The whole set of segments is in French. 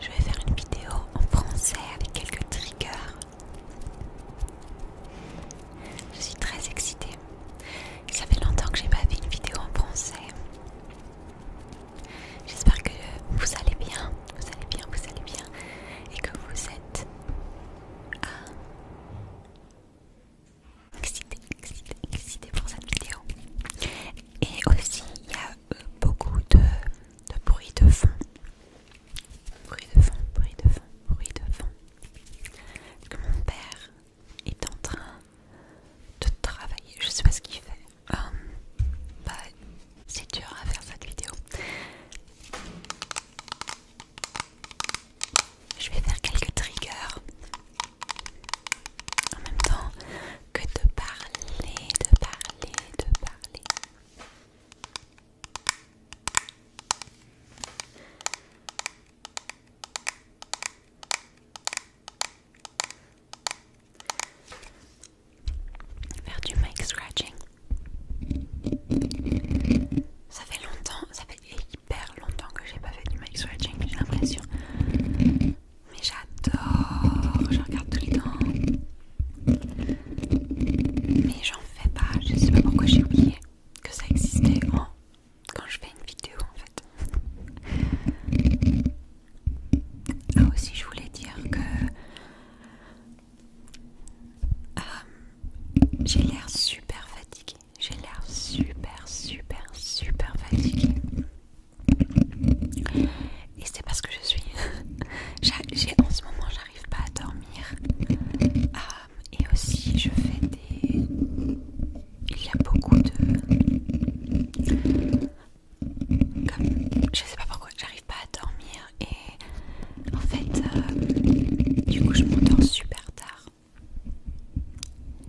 je vais faire une vidéo en français avec quelques triggers. Je suis très excitée. Ça fait longtemps que j'ai pas fait une vidéo en français. J'espère que vous allez bien, vous allez bien, vous allez bien, et que vous êtes excité, excité, pour cette vidéo. Et aussi, il y beaucoup de, bruit de fond. Bruit de fond, bruit de fond, bruit de fond. que mon père est en train de travailler. Je sais pas ce qu'il fait. Hum, bah, c'est dur à faire cette vidéo. Je vais faire quelques triggers. En même temps, que de parler, de parler, de parler. Faire du mic scratching. Ça fait longtemps, ça fait hyper longtemps que j'ai pas fait du mic scratching, j'ai l'impression. Mais j'adore, je regarde tous les temps. Mais j'en fais pas, je sais pas pourquoi j'ai oublié que ça existait quand je fais une vidéo en fait. Ah aussi je voulais dire que euh, j'ai l'air super fatiguée. J'ai l'air super super super fatiguée. Et c'est parce que je suis. en ce moment, j'arrive pas à dormir. Euh, et aussi, je fais des. Il y a beaucoup de. Comme. Je sais pas pourquoi, j'arrive pas à dormir. Et en fait, euh, du coup, je m'endors super tard.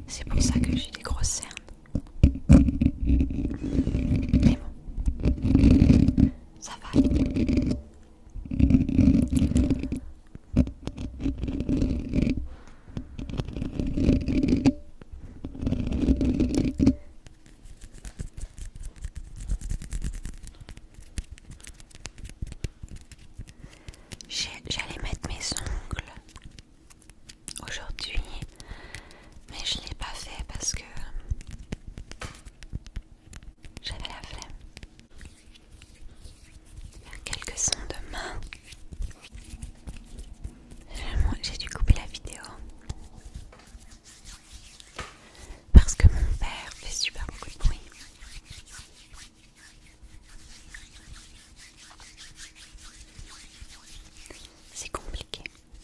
C'est pour ça que j'ai des grosses cernes bon, ça va. J'allais mettre mes ongles aujourd'hui, mais je l'ai pas fait parce que j'avais la flemme. quelques sons de main. J'ai dû couper la vidéo parce que mon père fait super beaucoup de bruit. C'est compliqué.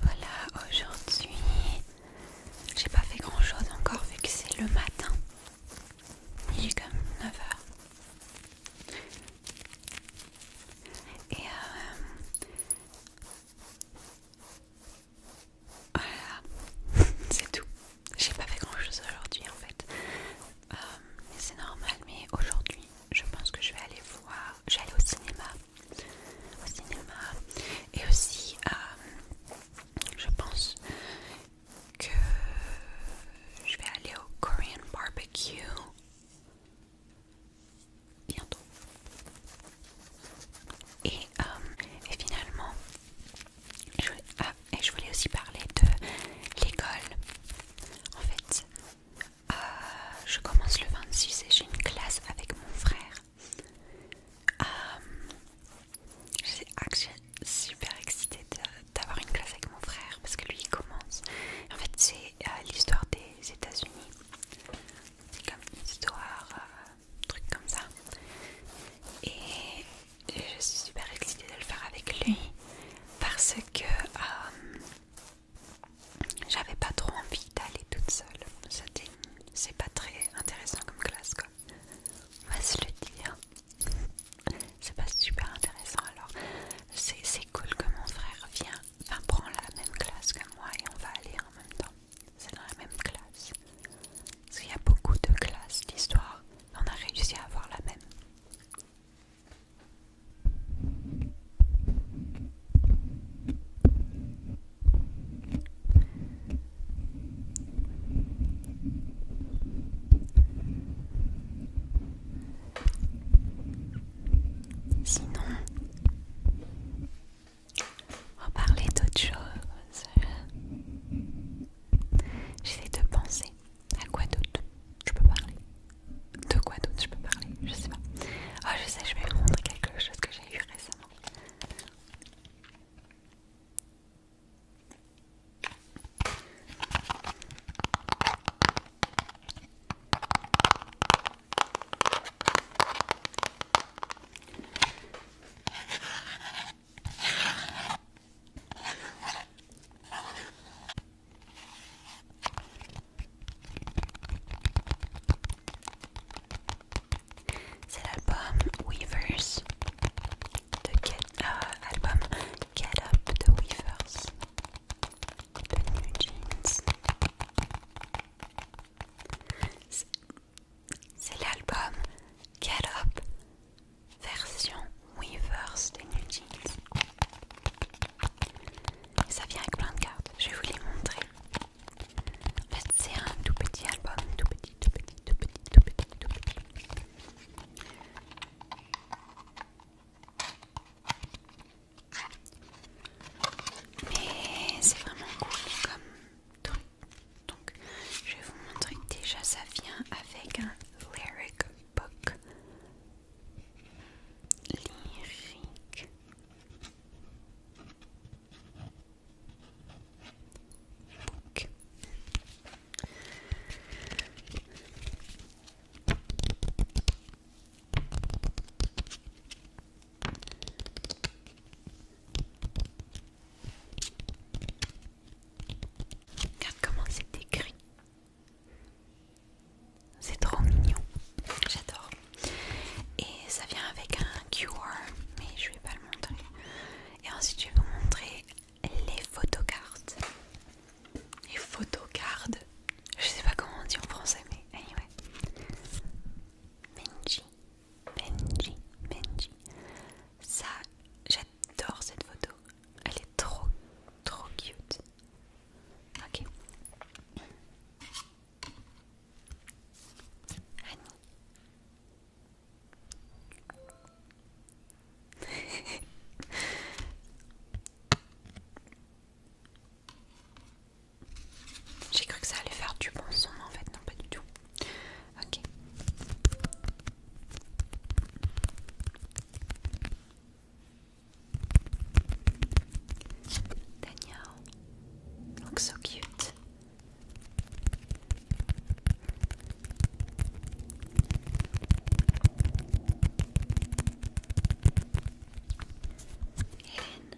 Voilà, aujourd'hui, j'ai pas fait grand chose encore vu que c'est le matin. Il est comme 9h. Et euh, voilà, c'est tout. J'ai pas fait grand chose aujourd'hui en fait. Euh, c'est normal, mais aujourd'hui, je pense que je vais aller voir. Je vais aller au cinéma au cinéma et aussi je pense que je vais aller au Korean barbecue bientôt et, euh, finalement ah, et je voulais aussi parler de l'école en fait euh, je commence le 26 et j'ai une classe avec mon frère. Euh, je suis super excitée d'avoir une classe avec mon frère parce que lui il commence. En fait, c'est euh, l'histoire des États-Unis. C'est comme une histoire, truc comme ça. Et je suis super excitée de le faire avec lui parce que j'avais pas trop envie d'aller toute seule. C'est pas très intéressant comme classe, quoi. On va se le dire. C'est pas super intéressant. Alors, c'est cool que mon frère vient, enfin, la même classe que moi et on va aller en même temps. C'est dans la même classe. Parce qu'il y a beaucoup de classes d'histoire. On a réussi à avoir la même. Sinon, on va parler d'autre chose. J'essaie de penser à quoi d'autre je peux parler de quoi d'autre je peux parler Je sais pas. Ah, je sais, je vais vous montrer quelque chose que j'ai eu récemment. C'est l'album Weavers, de Get, euh, Get Up de Weavers, de New Jeans. C'est l'album Get Up version Weavers de New Jeans. Ça vient avec plein de cartes, je vais vous les montrer. En fait, c'est un tout petit album, tout petit, tout petit, tout petit, tout petit, tout petit. Mais c'est vraiment cool comme truc. Donc, je vais vous montrer déjà, ça vient avec un lyric book lyrique book Regarde comment c'est écrit. C'est trop mignon, j'adore. Et ça vient avec un QR, mais je vais pas le montrer. Et ensuite je vais vous montrer les photocards. Les photocards Je sais pas comment on dit en français, mais anyway. Benji, Benji, Benji. Ça, j'adore cette photo. Elle est trop, trop cute. Ok. J'ai cru que ça allait faire du bon son, en fait, non, pas du tout. Ok. Danielle looks so cute. Hayden.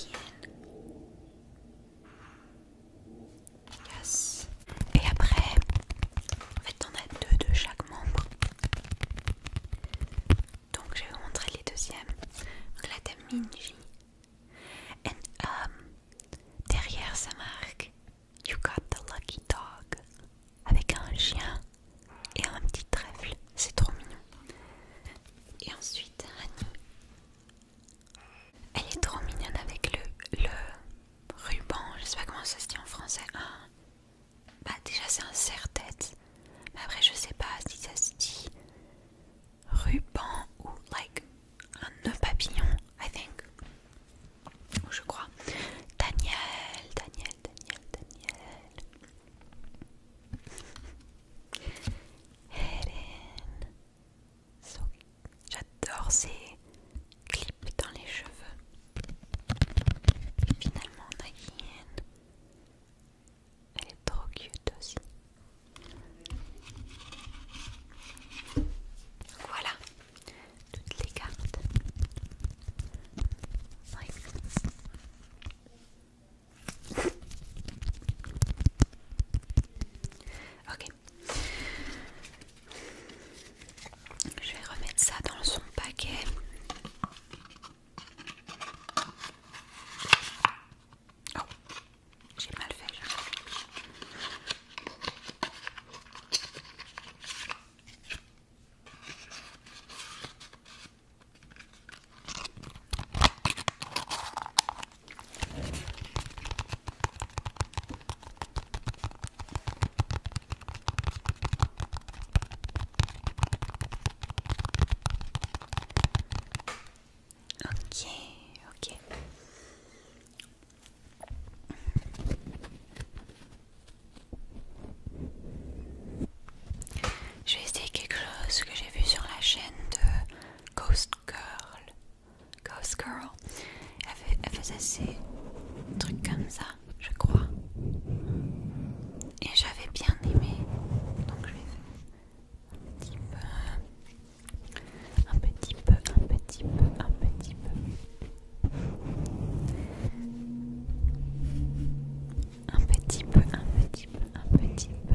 Ian. Et après, en fait, on a deux de chaque membre. Donc, je vais vous montrer les deuxièmes. Donc là, t'as Minji. Et um, derrière sa marque, you got the lucky dog. Avec un chien et un petit trèfle. C'est trop mignon. Et ensuite, elle est trop mignonne avec le, le ruban, je sais pas comment ça se dit en français. bah déjà c'est un serre-tête, mais après je sais pas si ça se dit ruban ou like un nœud papillon, I think. Je crois. Daniel, Daniel, Daniel, Daniel. Hélène. J'adore ces clips dans les cheveux. Finalement, on a Yen, elle est trop cute aussi. Voilà toutes les cartes. ok, je vais remettre ça dans son paquet. Oh, j'ai mal fait. Ok, ok. Je vais essayer quelque chose que j'ai vu sur la chaîne de Ghost Girl. Ghost Girl. Elle, faisait ces trucs comme ça, je crois. Et j'avais bien aimé. Donc je vais un petit peu, un petit peu, un petit peu. Un petit peu, un petit peu, un petit peu. Un petit peu.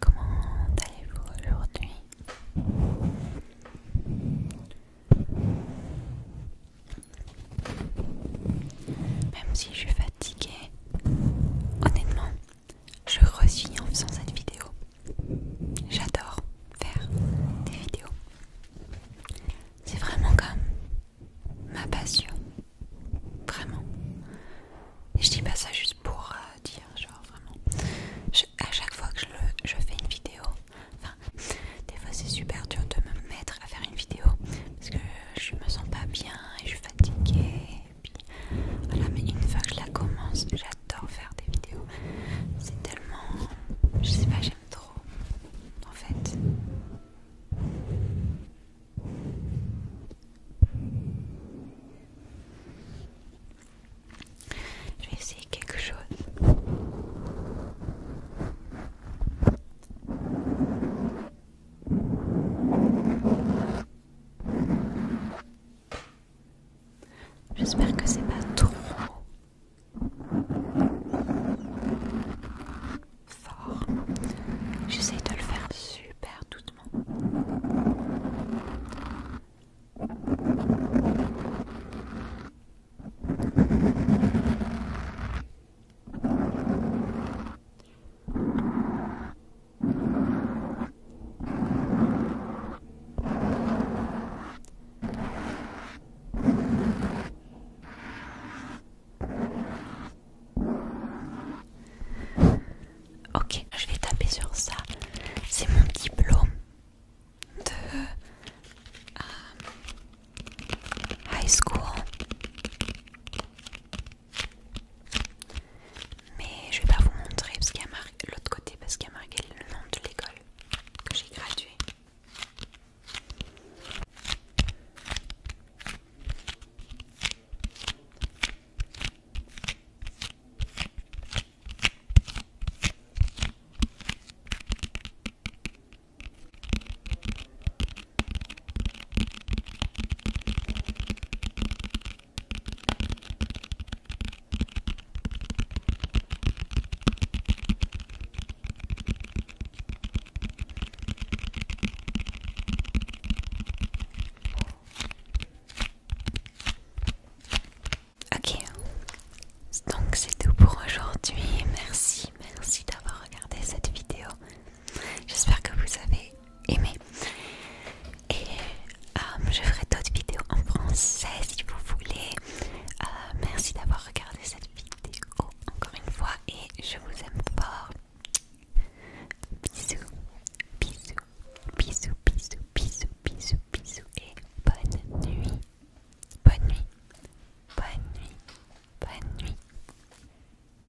Comment allez-vous aujourd'hui Même si je suis fatiguée, honnêtement, je re-signe en faisant cette vidéo. J'adore faire des vidéos. C'est vraiment comme ma passion. Vraiment. Et je dis pas ça juste pour euh, dire, genre vraiment. à chaque fois que je, fais une vidéo, enfin, des fois c'est super dur de me mettre à faire une vidéo parce que je me sens pas bien et je suis fatiguée voilà mais une fois que je la commence j'adore faire des vidéos c'est tellement je sais pas j'aime trop en fait je vais essayer quelque chose J'espère que c'est pas trop fort. j'essaie de le faire super doucement. Ok, je vais taper sur ça. C'est mon diplôme de euh, high school. Mais je vais pas vous montrer parce qu'il a marqué l'autre côté parce qu'il y a marqué le nom de l'école que j'ai graduée Ok, donc c'est tout pour aujourd'hui. Merci, merci d'avoir regardé cette vidéo. J'espère que vous avez aimé. Et euh, je ferai d'autres vidéos en français si vous voulez. Euh, merci d'avoir regardé cette vidéo encore une fois et je vous aime fort. Bisous, bisous, bisous, bisous, bisous, bisous, bisous et bonne nuit. Bonne nuit, bonne nuit, bonne nuit.